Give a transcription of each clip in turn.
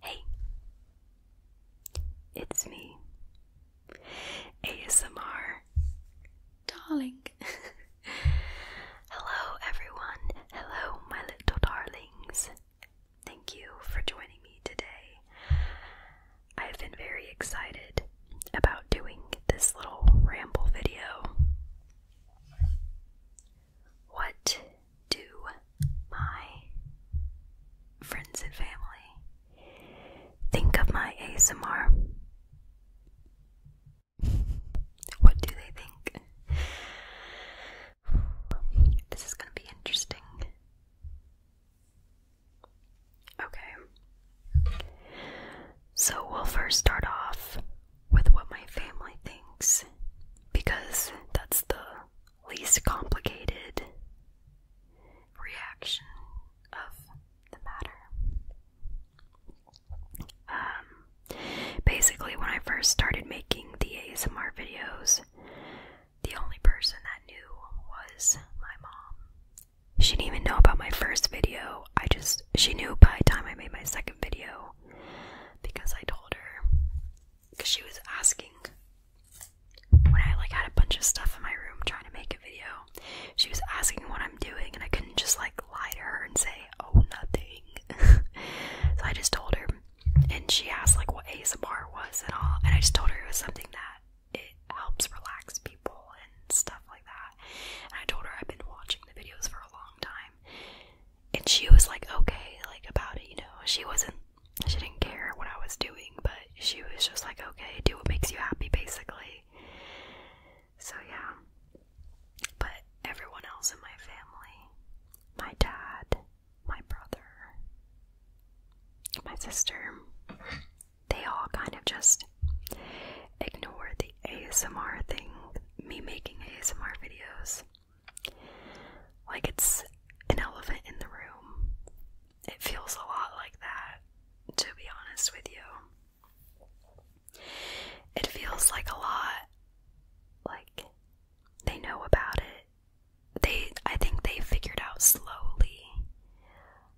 Hey, it's me, ASMR Darling. Hello, everyone. Hello, my little darlings. Thank you for joining me today. I've been very excited about doing this little ramble video. What do my friends and family think of my ASMR? What do they think? This is going to be interesting. Okay. So we'll first start off with what my family thinks because that's the least complicated reaction of the matter. Um, basically, when I first started making the ASMR videos, the only person that knew was my mom. She didn't even know about my first video. I just, she knew by the time I made my second video because I told her because she was asking when I like had a bunch of stuff in my room trying to make a video. She was asking what I'm doing, and I couldn't just like lie to her and say, "Oh, nothing." so I just told her, and she asked like what ASMR was and all, and I just told her it was something that it helps relax people and stuff like that. And I told her I've been watching the videos for a long time, and she was like okay like about it you know she wasn't she didn't care what I was doing but she was just like okay do what makes you happy basically so yeah but everyone else in my family my dad my brother my sister they all kind of just ignored the ASMR thing me making ASMR videos like it's an elephant in the room. It feels a lot like that, to be honest with you. It feels like a lot like they know about it. They I think they figured out slowly.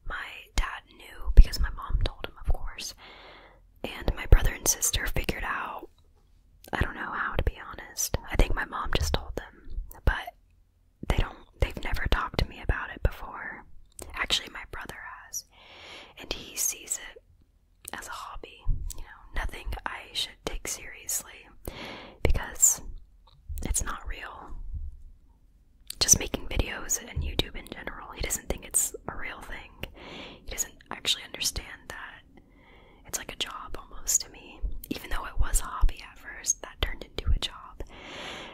My dad knew because my mom told him, of course. And my brother and sister figured out I don't know how to be honest. I think my mom just told them, but they don't they've never talked to me about it before. Actually, my brother has, and he sees it as a hobby, you know, nothing I should take seriously because it's not real. Just making videos and YouTube in general, he doesn't think it's a real thing. He doesn't actually understand that it's like a job almost to me. Even though it was a hobby at first, that turned into a job.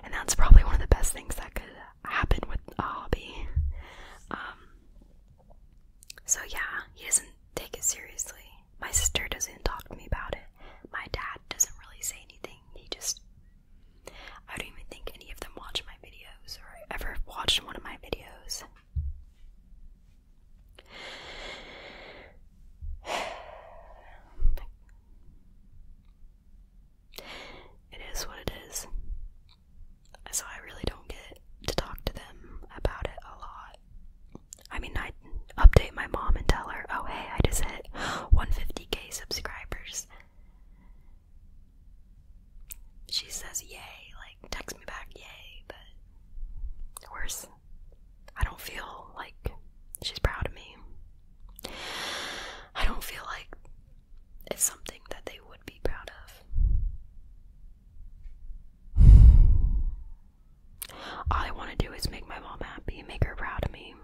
And that's probably one of the best things that could happen with a hobby. Um, so, yeah, he doesn't take it seriously. My sister doesn't talk to me about it. My dad doesn't really say anything. He just. I don't even think any of them watch my videos or ever watched one of my videos. It is what it is. So I really don't get to talk to them about it a lot. I mean, I update my mom and tell her, oh hey, I just hit 150k subscribers. She says, yay, text me back, yay, but worse. I don't feel like she's proud of me. I don't feel like it's something that they would be proud of. All I want to do is make my mom happy, make her proud of me.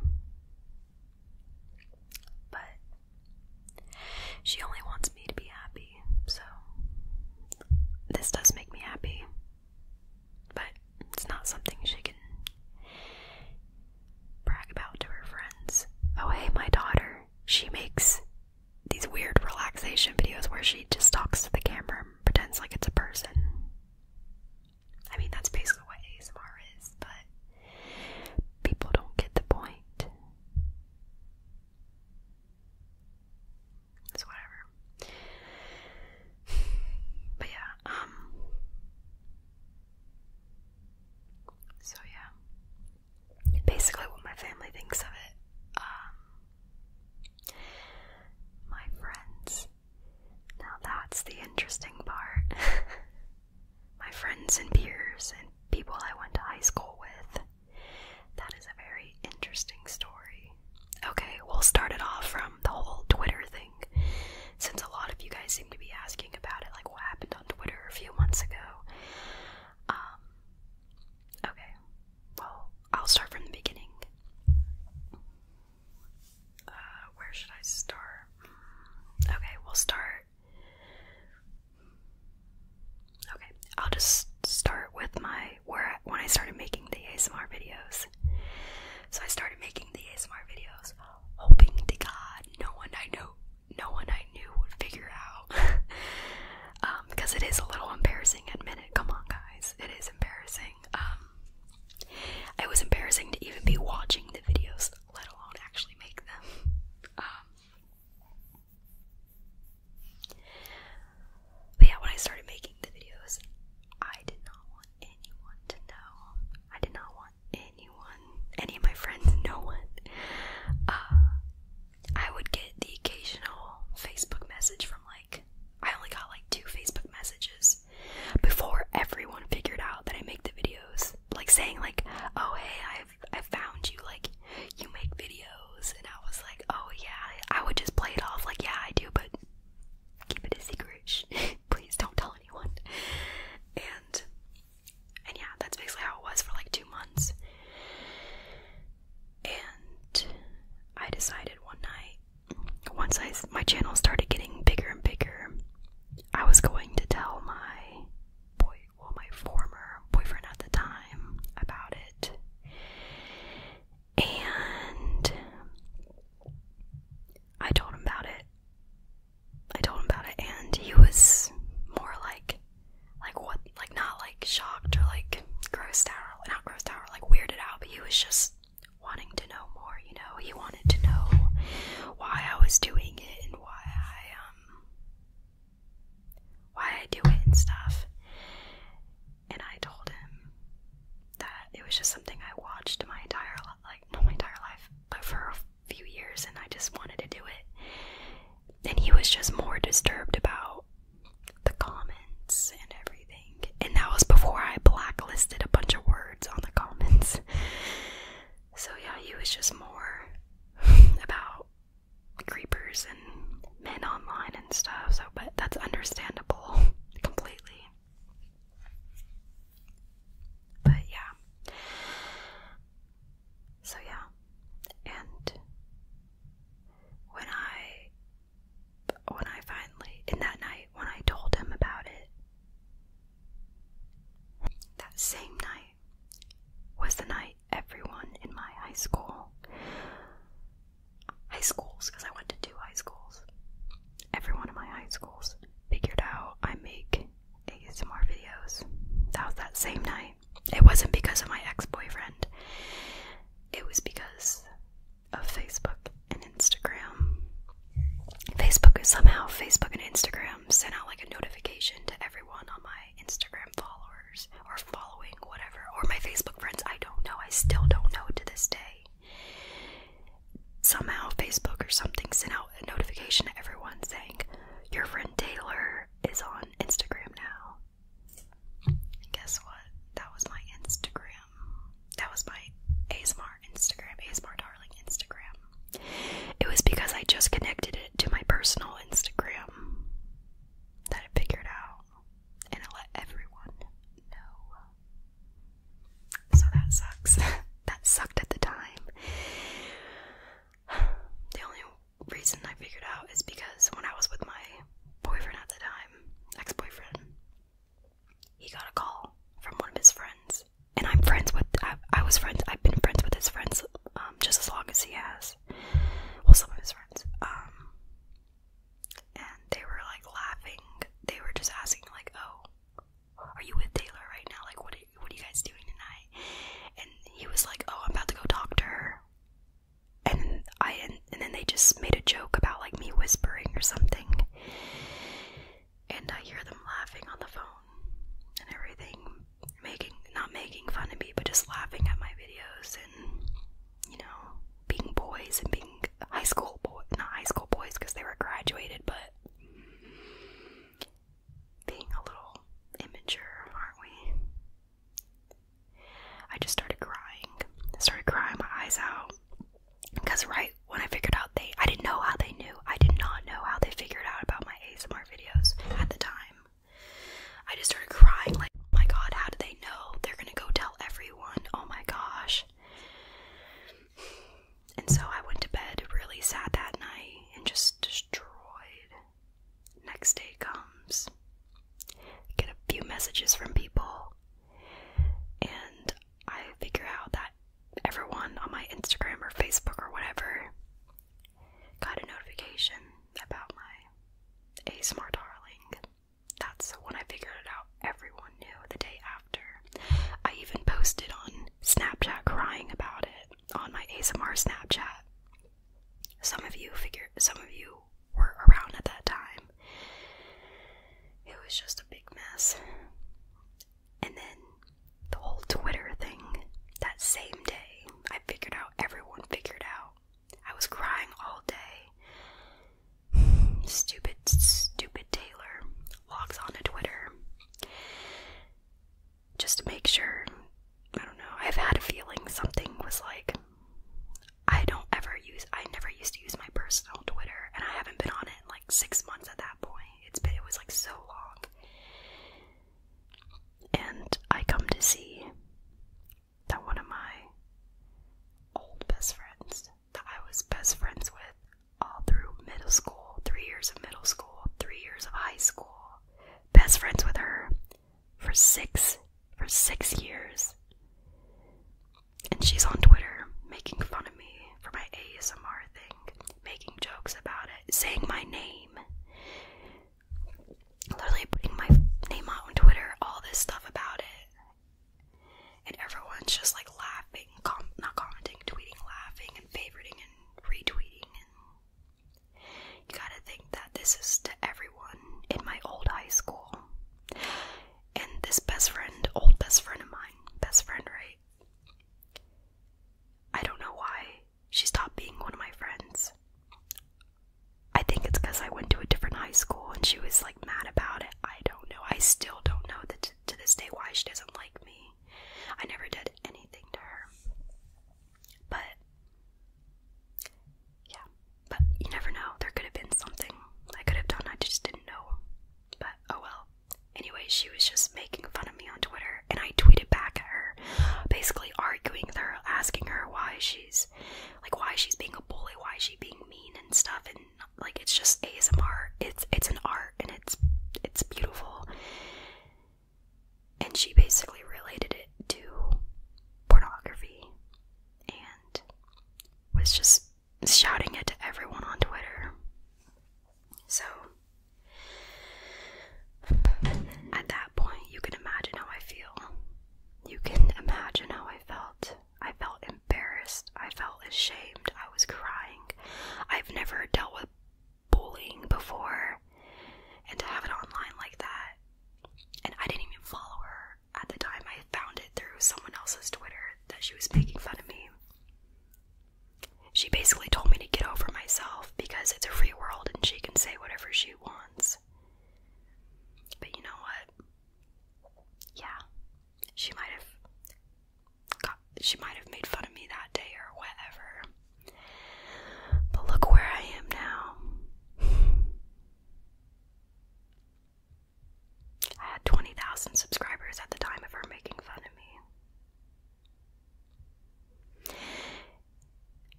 But she only wants me to be happy so this does make me happy, but it's not something she can brag about to her friends. Oh, hey, my daughter, she makes these weird relaxation videos where she just talks to the camera pretends like it's a person. I mean, that's basically what ASMR is, but people don't get the point. It's whatever. But yeah, um, so yeah. Basically what my family thinks of it. Um, my friends. Now that's the interesting part. my friends and peers and people I went to high school with that is a very interesting story. Okay, we'll start it off from the whole Twitter thing. Since a lot of you guys seem to be asking about it, like what happened on Twitter a few months ago. Um, okay, well, I'll start from the beginning. Uh, where should I start? Hmm, okay, we'll start Okay, I'll just start with my where I, when I started making the ASMR videos. So I started making the ASMR videos, hoping to God no one I know, no one I knew would figure out. because um, it is a little embarrassing. Admit it. Come on, guys, it is embarrassing. Um, it was embarrassing to even be watching the videos, let alone actually make them. Um, but yeah, when I started making the videos, I did not want anyone to know. I did not want anyone, any of my friends, no one. Uh, I would get the occasional Facebook message from like, I only got like two Facebook messages before everyone figured out that I make the videos. Like saying like, oh hey, I've I found you. Like you make videos. And I was like, oh yeah, I would just play it off like, yeah, I do, but keep it a secret. Please don't tell anyone. And, and yeah, that's basically how it was for like two months. And I decided one night, once I, my channel started getting bigger and bigger, I was going to tell my boy, well, my former boyfriend at the time about it. And I told him about it. I told him about it and he was more like like what like not like shocked or like grossed out or not grossed out or like weirded out, but he was just wanting to know more, you know. He wanted to know why I was doing it and why I um why I do it and stuff. And I told him that it was just something I watched my entire like my entire life, but for a few years, and I just wanted to do it. And he was just more disturbed about the comments and everything. And that was before I blacklisted a bunch of words on the comments. So yeah, he was just more about creepers and men online and stuff, so but that's understandable completely. But yeah. So yeah. And when I when I finally in that night when I told him about it that same night was the night everyone in my high school. High schools, because I went to two high schools. every one of my high schools figured out I make ASMR videos. That was that same night. It wasn't because of my ex boyfriend, it was because of Facebook and Instagram. Facebook somehow Facebook and Instagram sent out like a notification to everyone on my Instagram followers or following whatever or my Facebook friends. I don't know. I still don't know to this day. Somehow Facebook or something sent out a notification to everyone saying your friend Taylor is on Instagram now. And guess what? That was my Instagram. That was my ASMR Instagram, ASMR Darling Instagram. It was because I just connected it to my personal Instagram that I figured out and I let everyone know. So that sucks. that sucked at the time. The only reason I figured out is because when I was with my boyfriend at the time, ex boyfriend, he got a call from one of his friends. And I'm friends with, I, was friends, I've been friends with his friends um, just as long as he has well, some of his friends, um, and they were like laughing. They were just asking, like, "Oh, are you with Taylor right now? Like, what are, what are you guys doing tonight?" And he was like, "Oh, I'm about to go talk to her." And I and then they just made a joke about like me whispering or something. And I hear them laughing on the phone and everything, making not making fun of me, but just laughing at my videos and you know, being boys and being high school boys, not high school boys because they were graduated, but being a little immature, aren't we? I just started crying. I started crying my eyes out. Because right when I figured out they, I didn't know how they knew. I did not know how they figured out about my ASMR videos at the time. I just started crying, like, oh my god, how did they know? They're gonna go tell everyone, oh my gosh. And so I went to bed really sad that night and just destroyed. Next day comes, get a few messages from people, and I figure out that everyone on my Instagram or Facebook or whatever got a notification about my ASMR darling. That's when I figured it out. Everyone knew the day after. I even posted on Snapchat crying about it on my ASMR Snapchat. Some of you figured, some of you were around at that time. It was just a big mess. And then the whole Twitter thing that same day, I figured out, everyone figured out I was crying all day. Stupid, stupid Taylor logs on to Twitter just to make sure. I don't know. I've had a feeling something was like. I don't ever use. I never used to use my personal Twitter, and I haven't been on it in like six months at that point. It's been. It was like so long. And I come to see that one of my old best friends that I was best friends with all through middle school, three years of middle school, three years of high school, best friends with her for six for six years. And she's on Twitter making fun of me for my ASMR thing, making jokes about it, saying my name literally putting my name out on Twitter, all this stuff about it, and everyone's just like laughing, not commenting, tweeting, laughing, and favoriting and retweeting. And you gotta think that this is to everyone in my old high school, and this best friend, old best friend of mine, best friend, right? I don't know why she stopped being one of my friends. I think it's because I went to a different high school and she was like mad about it. I don't know. I still don't know that to this day why she doesn't like me. I never did anything to her. But yeah, but you never know. There could have been something I could have done. I just didn't know. But oh well. Anyway, she was just making fun of me on Twitter, and I tweeted back at her, basically arguing with her, asking her why she's like why she's being a bully, why she's being mean and stuff, and like it's just ASMR. It's it's an art and it's it's beautiful. And she basically related it to pornography and was just shouting it to everyone on Twitter. So at that point, you can imagine how I feel. You can imagine how I felt. I felt embarrassed. I felt ashamed. I was crying. I've never dealt with bullying before. And to have it online like that, and I didn't even follow her at the time. I found it through someone else's Twitter that she was making fun of me. She basically told me to get over myself because it's a free world and she can say whatever she wants. But you know what? Yeah, she might have. Got, she might have made fun of me that day or whatever. But look where I am now. I had 20,000 subscribers at the time of her making fun of me.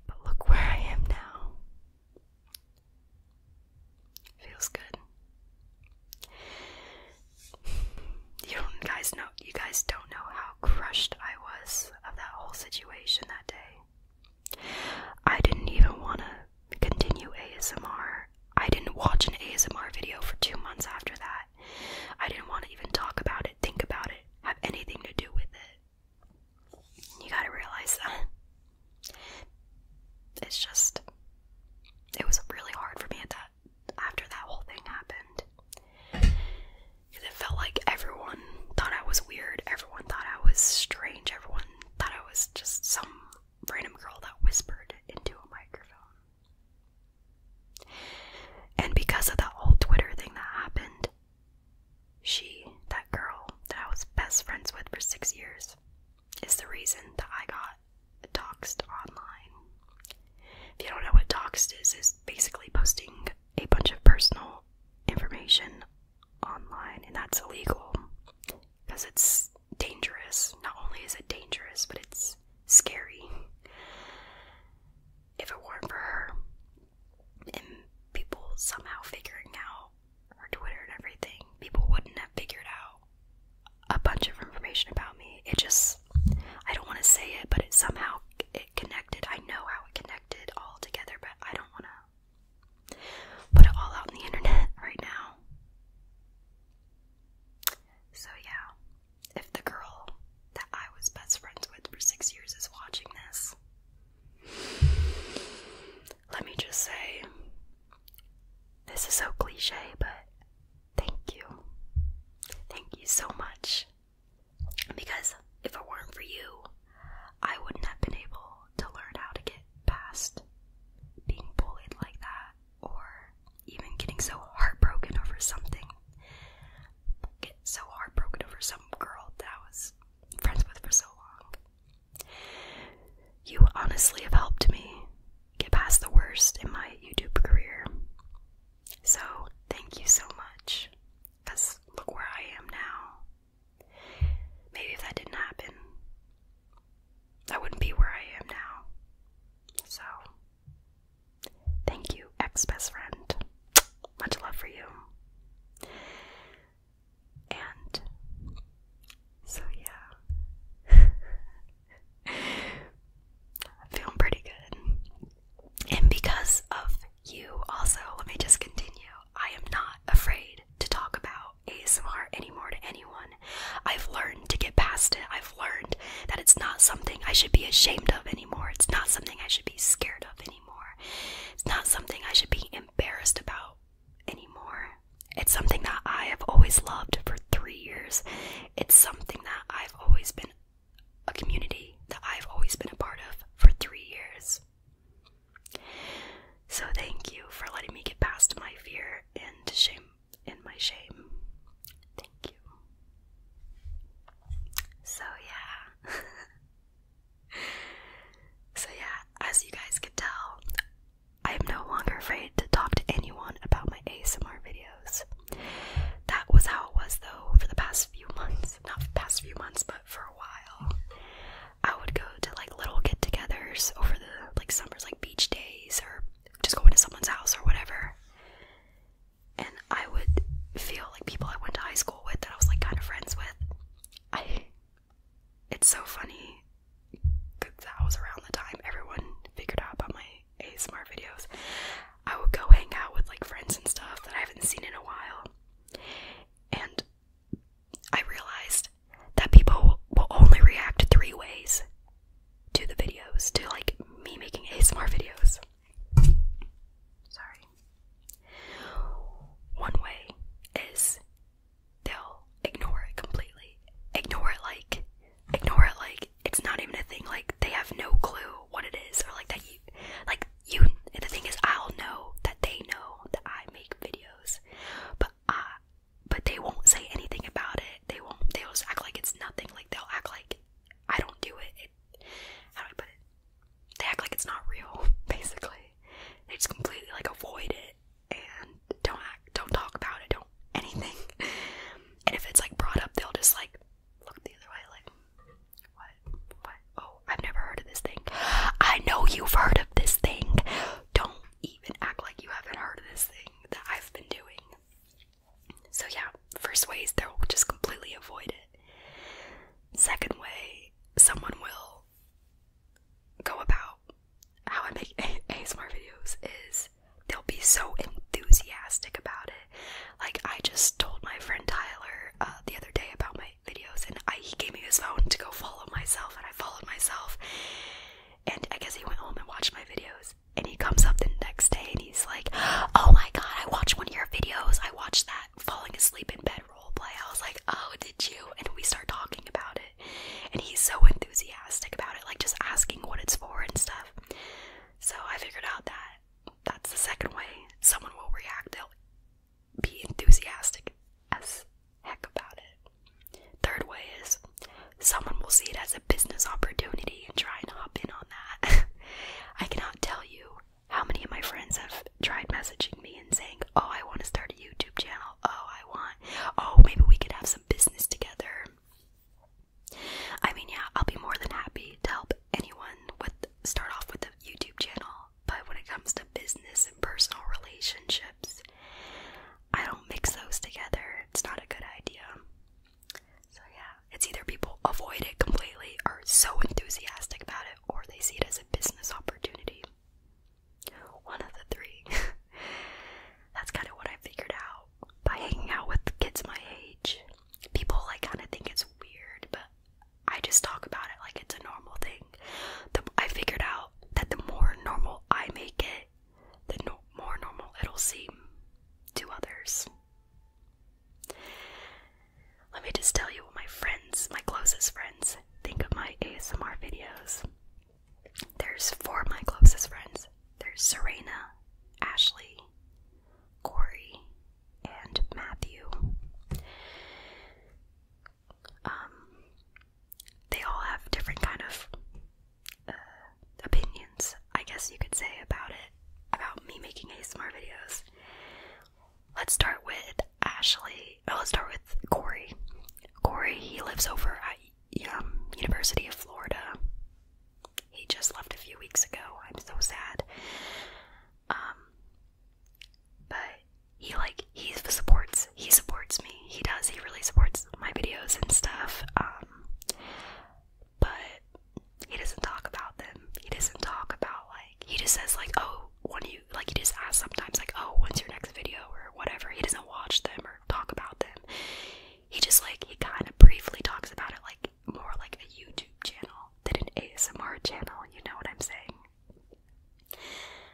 But look where I am now. Feels good. You guys know you guys don't know how crushed I was of that whole situation that day. I didn't even wanna continue ASMR. I didn't watch an ASMR video for two months after that. I didn't want to even talk about it, think about it, have anything to do with it. You gotta realize that. It's just, it was really hard for me at that after that whole thing happened. Because it felt like everyone thought I was weird, everyone thought I was strange, everyone thought I was just some random girl that whispered into a microphone. And because of that whole Twitter thing that happened, she, that girl that I was best friends with for six years, is the reason that I got doxxed online. If you don't know what doxxed is, is basically posting a bunch of personal information online, and that's illegal because it's dangerous. Not only is it dangerous, but it's scary. If it weren't for her, and people somehow figuring out her Twitter and everything, people wouldn't have figured out a bunch of information about me. It just, I don't want to say it, but it somehow it connected. I know how it connected all together, but I don't want to put it all out on the internet right now. So yeah, if the girl that I was best friends with for six years is watching this, let me just say, this is so cliche, but thank you. Thank you so much. Because if it weren't for you, I wouldn't have been able to learn how to get past being bullied like that or even getting so heartbroken over something. Get so heartbroken over some girl that was friends with for so long. You honestly have helped me get past the worst in my YouTube career. So, thank you so much. Because look where I am now. Maybe if that didn't happen, I wouldn't be where I am now. So, thank you, ex best friend. Much love for you. And so, yeah, I'm feeling pretty good. And because of you, also, let me just continue. I am not afraid to talk about ASMR anymore to anyone. I've learned to get past it. I've learned that it's not something I should be ashamed of anymore. It's not something I should be scared of anymore. It's not something I should be embarrassed about anymore. It's something that I have always loved for three years. It's something that I've always been a community that I've always been a part of for three years. So thank you for letting me get past my fear and shame and my shame. Thank you. So yeah. So, yeah, as you guys can tell, I am no longer afraid to talk to anyone about my ASMR videos. That was how it was, though, for the past few months. Not for past few months, but for a while. I would go to like little get togethers over the like summers, like beach days, or just going to someone's house or whatever. And I would feel like people I went to high school with that I was like kind of friends with it's so funny because that was around the time everyone figured out about my ASMR videos. I would go hang out with like friends and stuff that I haven't seen in a while, and I realized that people will only react three ways to the videos, to like me making ASMR videos. Sorry. One way is they'll ignore it completely. Ignore it like, ignore it like it's not even a thing. Like they have no clue what it is, or like that you, like you. The thing is, I'll know that they know that I make videos, but I, but they won't say anything about it. They won't. They'll act like it's nothing. Like they'll act like I don't do it how do I put it? they act like it's not real, basically. They just completely like avoid it and don't act, don't talk about it, don't anything. And if it's like brought up, they'll just like look the other way, like, what? What? Oh, I've never heard of this thing. I know you've heard of this thing. Don't even act like you haven't heard of this thing that I've been doing. So, yeah, first way is they'll just completely avoid it. Second way, someone will go about how I make ASMR videos is they'll be so enthusiastic about it. Like I just told my friend Tyler uh, the other day about my videos, and I, he gave me his phone to go follow myself, and I followed myself. And I guess he went home and watched my videos, and he comes up the next day and he's like, "Oh my god, I watched one of your videos. I watched that falling asleep in bed role play. I was like, "Oh, did you?" And we start talking about it, and he's so enthusiastic about it, like just asking what it's for and stuff. So I figured out that that's the second way someone will react. They'll be enthusiastic as heck about it. Third way is someone will see it as a business opportunity and try and hop in on that. I cannot tell you how many of my friends have tried messaging me and saying, "Oh, I want to start a YouTube channel. Oh, I want. Oh, maybe we could have some business together." I mean, yeah, I'll be more than happy to help anyone with start off with a YouTube channel, but when it comes to business and personal relationships, I don't mix those together. It's not a good idea. So yeah, it's either people avoid it completely or so enthusiastic about it or they see it as a business opportunity. One of the three. That's kind of what I figured out by hanging out with kids my age. People like kind of think it's weird, but I just talk about it like it's a normal thing. I figured out that the more normal I make it, the more normal it'll seem to others. Let me just tell you what my friends, my closest friends, think of my ASMR videos. There's four of my closest friends. There's Serena, Ashley, Corey, and Matthew. Um, they all have different kind of uh, opinions, I guess you could say, about it, about me making ASMR videos. Let's start with Ashley. Oh, let's start with Corey. Corey, he lives over at um, University of Florida. He just left a few weeks ago. I'm so sad. Um, but he like he supports he supports me. He does. He really supports my videos and stuff. Um, but he doesn't talk about them. He doesn't talk about like he just says like, oh, one of you like he just asks sometimes like oh when's your next video or whatever he doesn't watch them or talk about them he just like he kind of briefly talks about it like more like a youtube channel than an asmr channel you know what i'm saying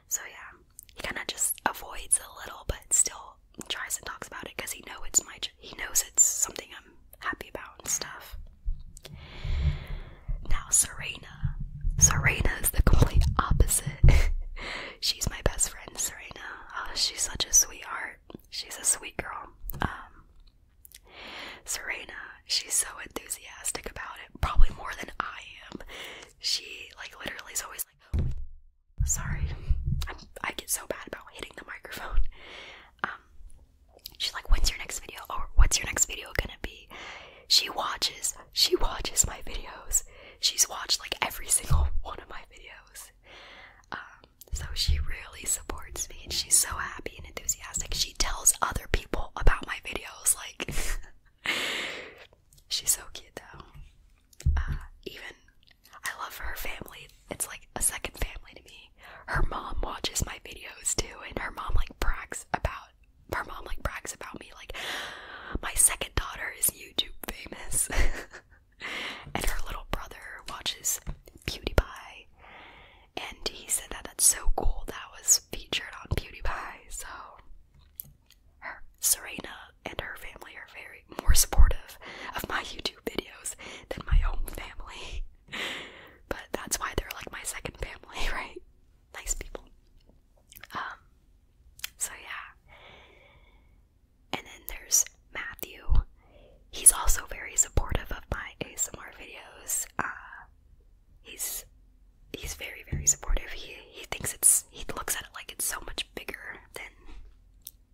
so yeah he kind of just avoids a little but still tries and talks about it because he knows it's my he knows it's something i'm happy about and stuff now, Serena. Serena is the complete opposite. she's my best friend, Serena. Oh, she's such a sweetheart. She's a sweet girl. Um, Serena, she's so enthusiastic about it, probably more than I am. She, like, literally is always like, oh, sorry, i get so bad about hitting the microphone. Um, she's like, when's your next video? Or what's your next video gonna be? She watches, she watches my videos. She's watched like every single one of my videos. Um, so she really supports me and she's so happy and enthusiastic. She tells other people about my videos. Like, she's so cute though. Uh, even, I love her family. It's like a second family to me. Her mom watches my videos too, and her mom like brags about her mom like brags about me like my second daughter is YouTube famous and her little brother watches PewDiePie and he said that that's so cool that was featured on PewDiePie so her Serena and her family are very more supportive of my YouTube videos than my own family but that's why they're like my second family right nice people. Um, so yeah. And then there's Matthew. He's also very supportive of my ASMR videos. Uh, he's he's very very supportive. He he thinks it's he looks at it like it's so much bigger than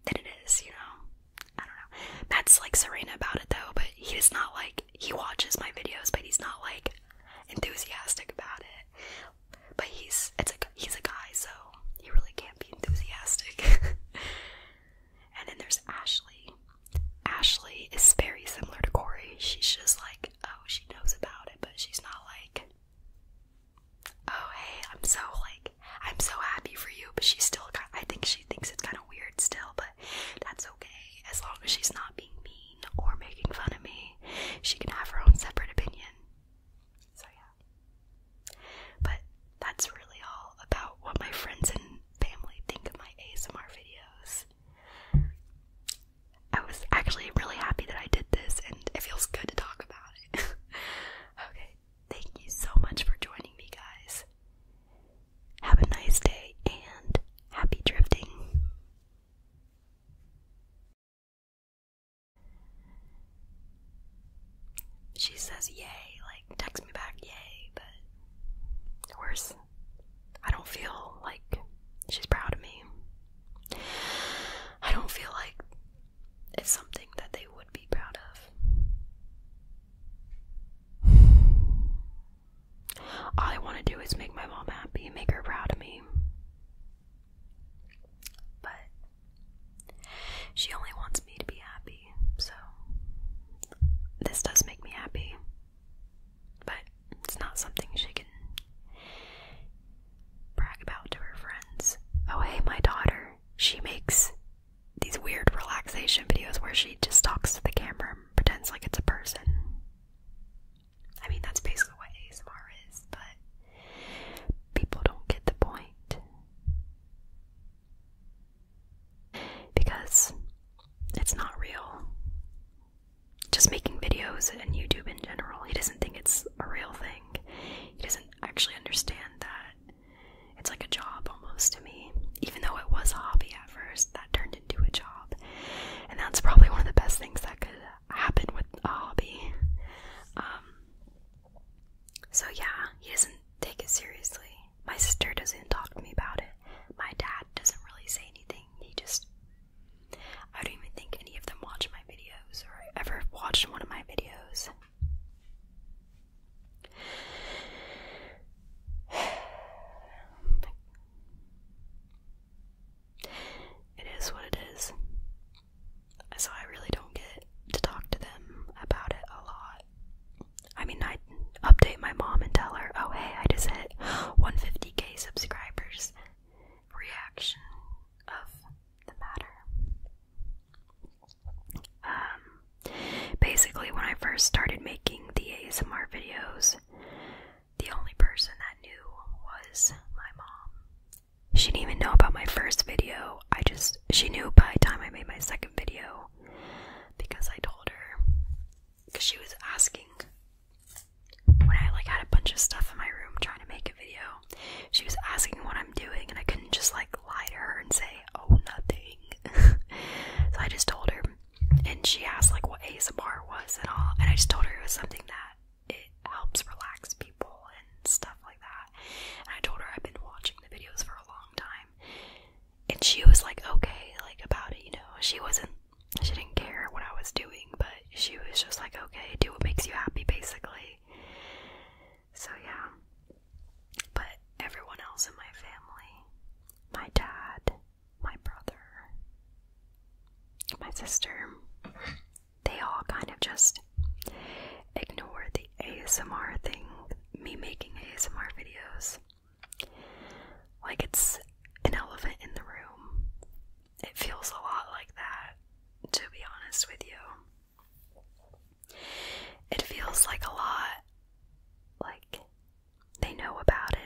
than it is. You know, I don't know. Matt's like Serena about it though, but he he's not like he watches my videos, but he's not like enthusiastic about it. But he's it's a he's a guy, so he really can't be enthusiastic. and then there's Ashley. Ashley is very similar to Corey. She's just like, oh, she knows about it, but she's not like, oh, hey, I'm so like, I'm so happy for you. But she's still, I think she thinks it's kind of weird still, but that's okay as long as she's not being mean or making fun of me. She can have her own separate opinion. So, yeah. But that's really all about what my friends and family think of my ASMR videos. I was actually really happy that I did this, and it feels good to talk about it. okay, thank you so much for joining me, guys. Have a nice day and happy drifting. She says yay, like text me back yay, but worse. I don't feel like she's proud of me. I don't feel like it's something that they would be proud of. All I want to do is make my mom happy, make her proud of me. But she only wants me to be happy, so this does make me happy. But it's not something she can brag about to her friends. Oh, hey, my daughter, she makes these weird relaxation videos where she just talks to the camera and pretends like it's a person. I mean, that's basically what ASMR is, but people don't get the point. Because it's not real. Just making videos and YouTube in general, he doesn't think it's a real thing. He doesn't actually understand that it's like a job almost to me. Even though it was a hobby first that turned into a job, and that's probably one of the best things that could happen with a hobby. Um, so yeah, he doesn't take it seriously. My sister doesn't talk to me about it. My dad doesn't really say anything. He just I don't even think any of them watch my videos or ever watch one of my videos. It is what it is. So I really don't get to talk to them about it a lot. I mean, I update my mom and tell her, oh hey, I just hit 150k subscribers. Reaction of the matter. Um, basically, when I first started making the ASMR videos, the only person that knew was my mom. She didn't even know about my first video. I just, she knew by the time I made my second video because I told her. Because she was asking when I like had a bunch of stuff in my room trying to make a video. She was asking what I'm doing, and I couldn't just like lie to her and say, oh, nothing. so I just told her and she asked like what ASMR was and all, and I just told her it was something that it helps relax people and stuff like that. And I told her I've been watching the videos for a long time, and she was like, okay, like about it, you know. She wasn't, she didn't care what I was doing, but she was just like, okay, do what makes you happy, basically. So yeah, but everyone else in my family, my dad, my brother, my sister, they all kind of just ignore the ASMR thing, me making ASMR videos. Like it's an elephant in the room. It feels a lot like that, to be honest with you. It feels like a lot like they know about it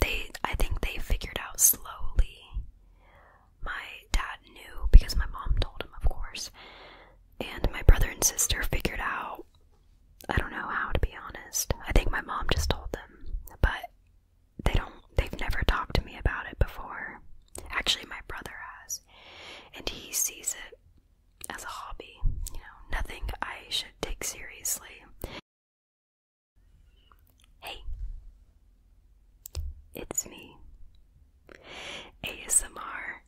they I think they figured out slowly. My dad knew because my mom told him, of course. And my brother and sister figured out I don't know how to be honest. I think my mom just told them, but they don't they've never talked to me about it before. Actually, my brother has. And he sees it as a hobby, you know, nothing I should take seriously. Hey, it's me, ASMR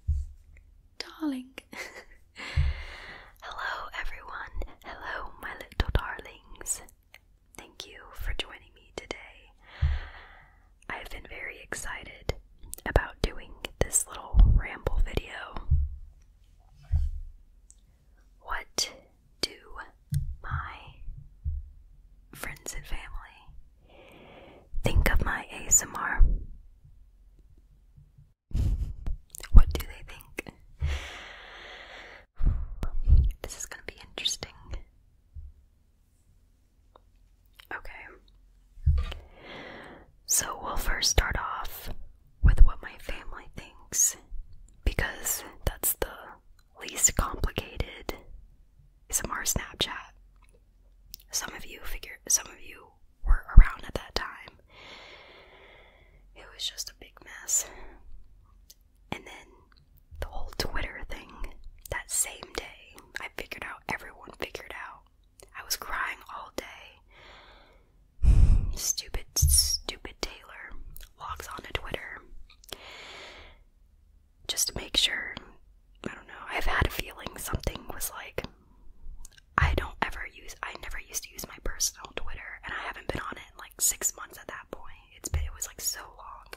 Darling. Hello, everyone. Hello, my little darlings. Thank you for joining me today. I've been very excited about doing this little ramble video. What do my friends and family think of my ASMR? What do they think? This is going to be interesting. Okay. So we'll first start off with what my family thinks because that's the least complicated ASMR Snapchat. Some of you figure some of you were around at that time. It was just a big mess. And then the whole Twitter thing that same day, I figured out everyone figured out. I was crying all day. Stupid, stupid Taylor logs on to Twitter just to make sure. I don't know. I've had a feeling something was like. I don't ever use. I never used to use my personal Twitter, and I haven't been on it in like six months at that point. It's been. It was like so long.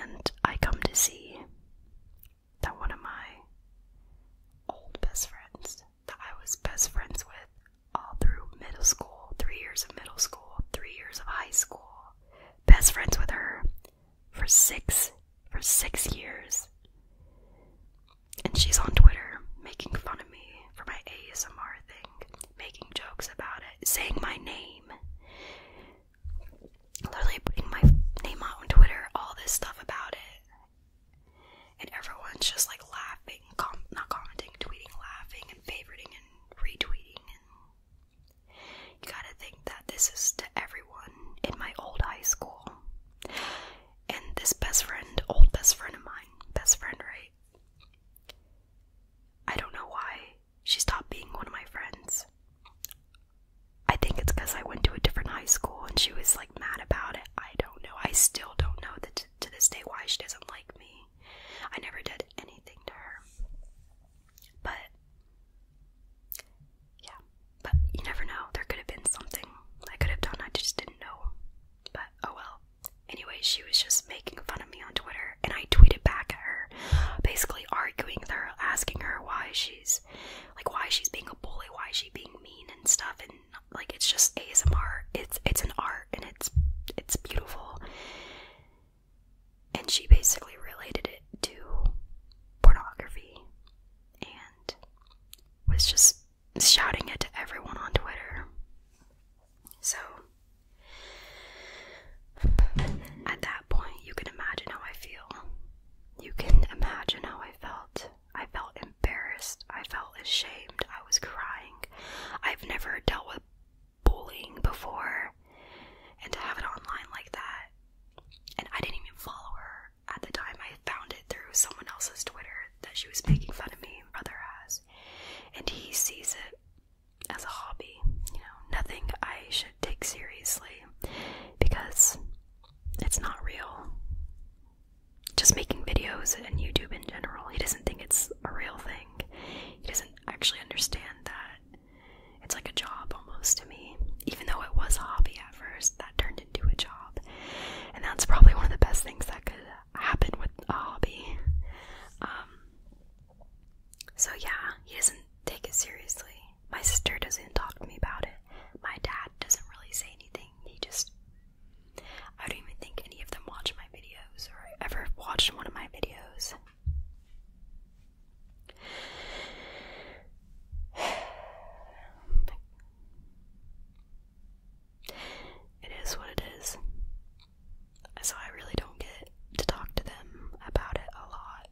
And I come to see that one of my old best friends I was best friends with all through middle school, three years of middle school, three years of high school. Best friends with her for six for six years. And she's on Twitter making fun of me for my ASMR thing, making jokes about it, saying my name. Literally putting my name out on Twitter, all this stuff about it and everyone's just like laughing, not commenting, tweeting, laughing, and favoriting and retweeting. you gotta think that this is to everyone in my old high school. And this best friend, old best friend of mine, best friend, right? I don't know why she stopped being one of my friends. I think it's because I went to a different high school and she was like mad about it. I don't know. I still don't know the to this day why she doesn't like me. I never did anything to her. But yeah, but you never know. There could have been something I could have done. I just didn't know. But oh well. Anyway, she was just making fun of me on Twitter, and I tweeted back at her, basically arguing with her, asking her why she's like why she's being a bully, why she's being mean and stuff, and like it's just ASMR. It's it's an art and it's it's beautiful. And she basically related it to pornography and was just shouting it to everyone on Twitter. So at that point, you can imagine how I feel. You can imagine how I felt. I felt embarrassed. I felt ashamed. I was crying. I've never dealt with bullying before. And to have it online like that, and I didn't even follow her at the time. I found it through someone else's Twitter that she was making fun of me and brother has. And he sees it as a hobby. You know, nothing I should take seriously because it's not real just making videos and YouTube in general. He doesn't think it's a real thing. He doesn't actually understand that it's like a job almost to me. Even though it was a hobby at first, that turned into a job. And that's probably one of the best things that could happen with a hobby. Um, so, yeah, he doesn't take it seriously. My sister doesn't talk to me about it. My dad doesn't really say anything. He just I don't even think any of them watch my videos or ever watched one of my videos. It is what it is. So I really don't get to talk to them about it a lot.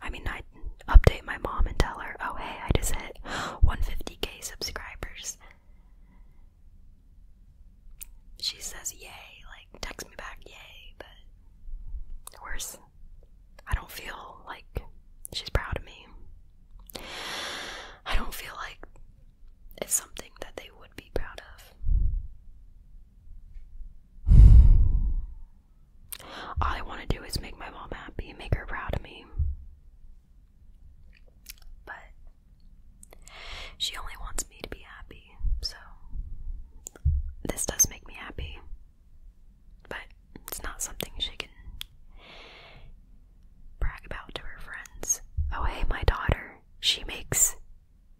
I mean, I update my mom and tell her, oh hey, I just hit 150k subscribers. She says yay, like text me back yay, but worse, I don't feel like she's proud of me. I don't feel like it's something that they would be proud of. All I want to do is make my mom happy, make her proud of me. But she only wants me to be happy, so this does make me happy. But it's not something she can brag about to her friends. Oh, hey, my daughter, she makes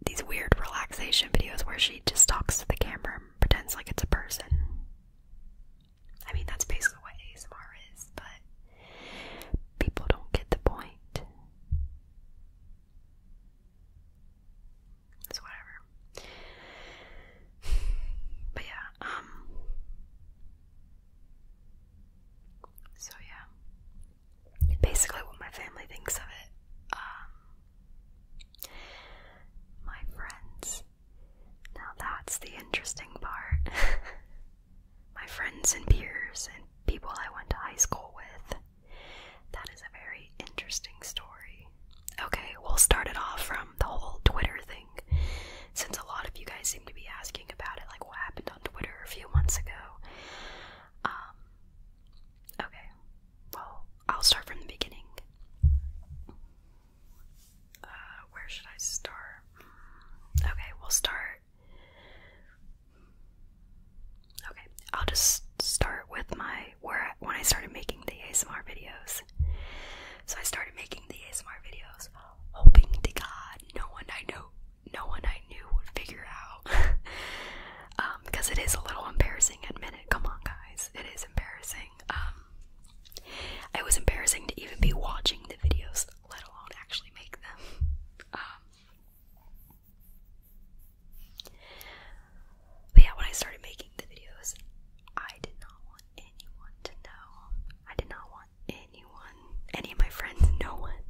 these weird relaxation videos where she just talks to the camera and pretends like it's a person. I mean, that's basically what ASMR is, but people don't get the point. It's whatever. But yeah, um, So yeah. Basically, what my family thinks of it. Um, my friends. Now that's the interesting part. my friends and peers and people I went to high school with. That is a very interesting story. Okay, we'll start it off from the whole Twitter thing. Since a lot of you guys seem to be asking about it, like what happened on Twitter a few months ago. Um, okay, well, I'll start from the beginning. Uh, where should I start? Hmm. Okay, we'll start. Okay, I'll just start with my where I, when I started making the ASMR videos. So I started making the ASMR videos, hoping to God no one I know, no one I knew would figure out. Um, because it is a little embarrassing. Admit it. Come on, guys, it is embarrassing. Um, it was embarrassing to even be watching the videos let alone actually make them. Um, but yeah, when I started making the videos, I did not want anyone to know. I did not want anyone, any of my friends, no one.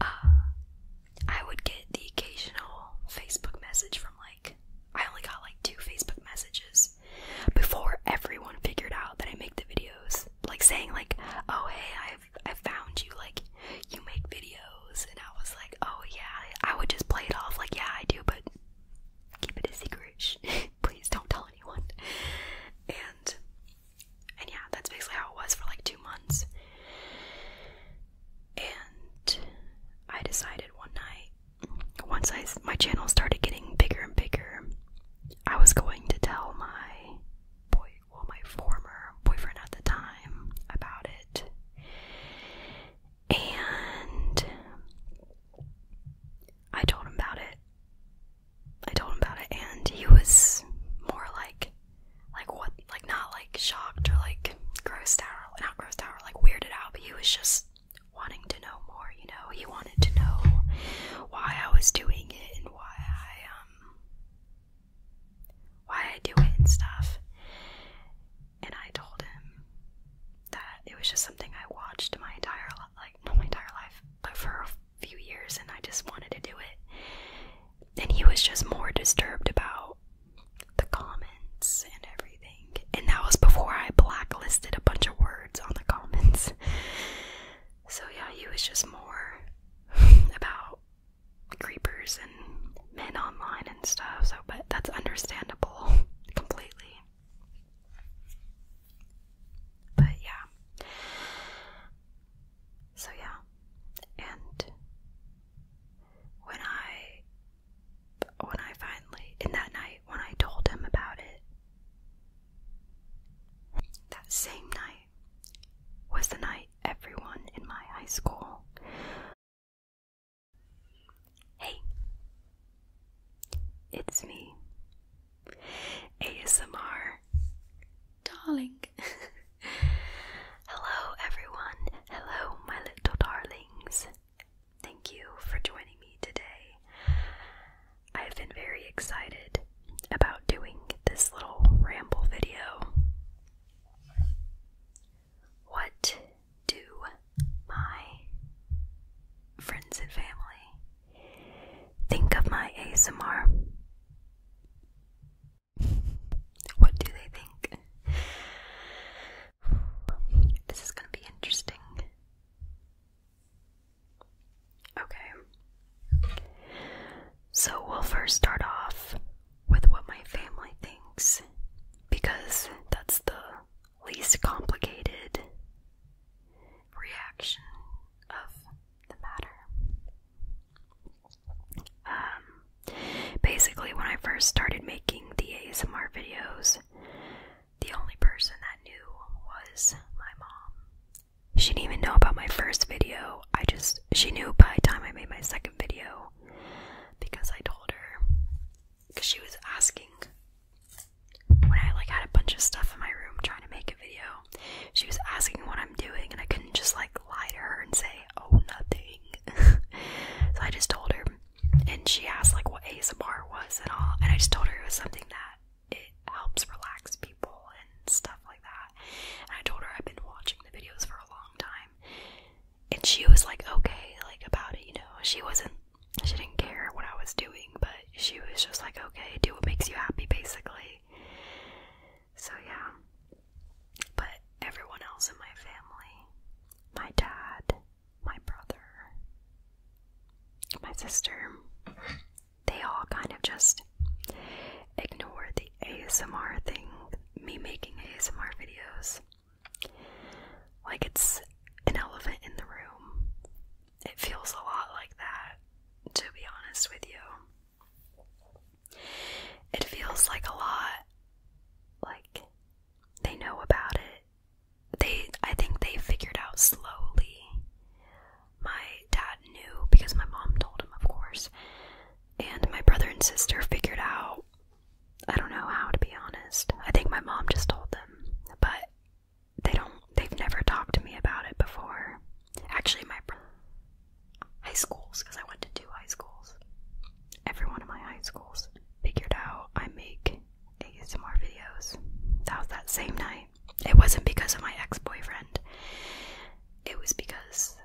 Uh, I would get the occasional Facebook message from like, I only got like two Facebook messages before everyone figured out that I make the videos. Like saying like, oh hey, I've I found you, like you make videos and I was like, oh yeah, I would just play it off like yeah I do, but keep it a secret. Please don't tell anyone. And and yeah, that's basically how it was for like two months. And I decided one night, once I my channel started getting bigger and bigger, I was going to tell my boy, well, my former boyfriend at the time about it, and I told him about it. I told him about it, and he was more like, like what, like not like shocked or like grossed out, not grossed out or like weirded out, but he was just wanting to know more you know, he wanted to know why I was doing it and why I um why I do it and stuff. And I told him that it was just something I watched my entire like not my entire life, but for a few years and I just wanted to do it. And he was just more disturbed about the comments and everything. And that was before I blacklisted a bunch of words on the comments. So yeah, he was just more about creepers and men online and stuff. So, but that's understandable completely. But yeah. So yeah. And when I when I finally in that night when I told him about it, that same night was the night everyone in my high school. Hey, it's me, ASMR, darling. Hello, everyone. Hello, my little darlings. Thank you for joining me today. I've been very excited about doing this little ramble video. What do my friends and family think of my ASMR? What do they think? This is going to be interesting. Okay. So we'll first start off with what my family thinks because that's the least complicated reaction of the matter. Um, basically, when I first started making the ASMR videos, the only person that knew was my mom. She didn't even know about my first video. I just, she knew by the time I made my second video because I told her. Because she was asking when I like had a bunch of stuff in my room trying to make a video. She was asking what I'm doing, and I couldn't just like lie to her and say, "Oh, nothing." so I just told her, and she asked like what ASMR was and all, and I just told her it was something that it helps relax people and stuff like that. And I told her I've been watching the videos for a long time. And she was like, okay, like about it, you know. She wasn't, she didn't care what I was doing, but she was just like, okay, do what makes you happy, basically. So, yeah. But everyone else in my family my dad, my brother, my sister, they all kind of just ignore the ASMR thing, me making ASMR videos. Like it's an elephant in the room. It feels a lot like that, to be honest with you. It feels like a lot like they know about it they I think they figured out slowly. My dad knew because my mom told him, of course. And my brother and sister figured out I don't know how to be honest. I think my mom just told them, but they don't they've never talked to me about it before. Actually, my high schools because I went to two high schools. Every one of my high schools figured out I make ASMR videos. That was that same night. It wasn't because of my ex boyfriend, it was because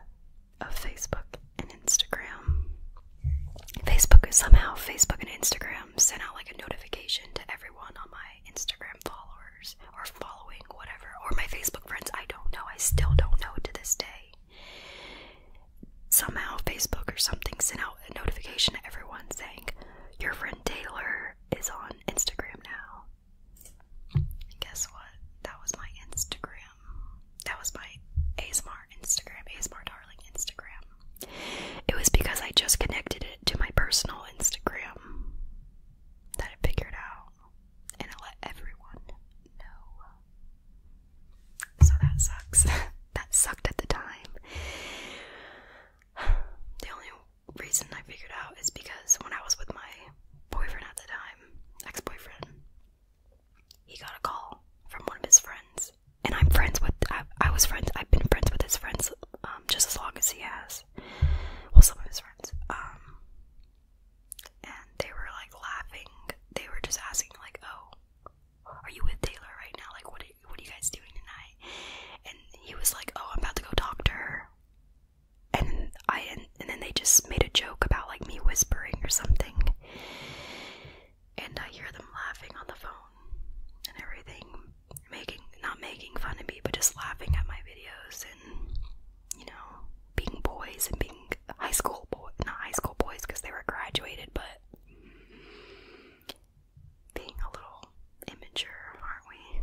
of Facebook and Instagram. Facebook somehow Facebook and Instagram sent out like a notification to everyone on my Instagram followers or following whatever or my Facebook friends. I don't know. I still don't know to this day. Somehow Facebook or something sent out a notification to everyone saying your friend Taylor is on Instagram now. guess what? That was my Instagram. That was my ASMR Instagram, ASMR Darling Instagram. It was because I just connected it to my personal Instagram that I figured out and I let everyone know. So that sucks. that sucked at the time. The only reason I figured out is because when I was with my boyfriend at the time, ex boyfriend, he got a call from one of his friends. And I'm friends with, I, was friends, I've been friends with his friends um, just as long as he has. Well, some of his friends. Um, and they were like laughing. They were just asking, like, oh, are you with Taylor right now? Like, what did what are, you guys doing tonight?" And he was like, "Oh, I'm about to go talk to her." And I and then they just made a joke about like me whispering or something. And I hear them laughing on the phone and everything, making not making fun of me, but just laughing at my videos and you know, being boys and being high school boy, not high school boys because they were graduated, but being a little immature, aren't we?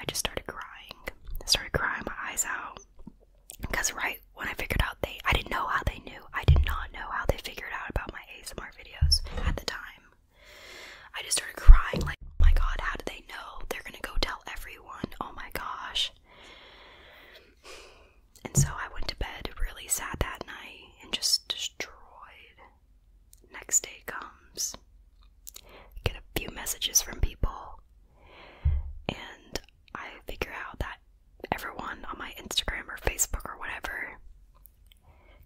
I just started crying. I started crying my eyes out. Because right when I figured out they I didn't know how they knew. I did not know how they figured out about my ASMR videos at the time. I just started crying like, oh my god, how did they know? They're gonna go tell everyone. Oh my gosh. And so I went to bed really sad that night and just destroyed. Next day comes. I get a few messages from people, and I figure out that everyone on my Instagram or Facebook or whatever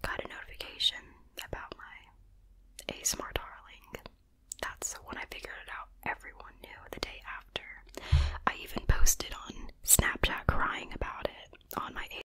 got a notification about my ASMR darling. That's when I figured it out. Everyone knew the day after. I even posted on Snapchat crying about it on my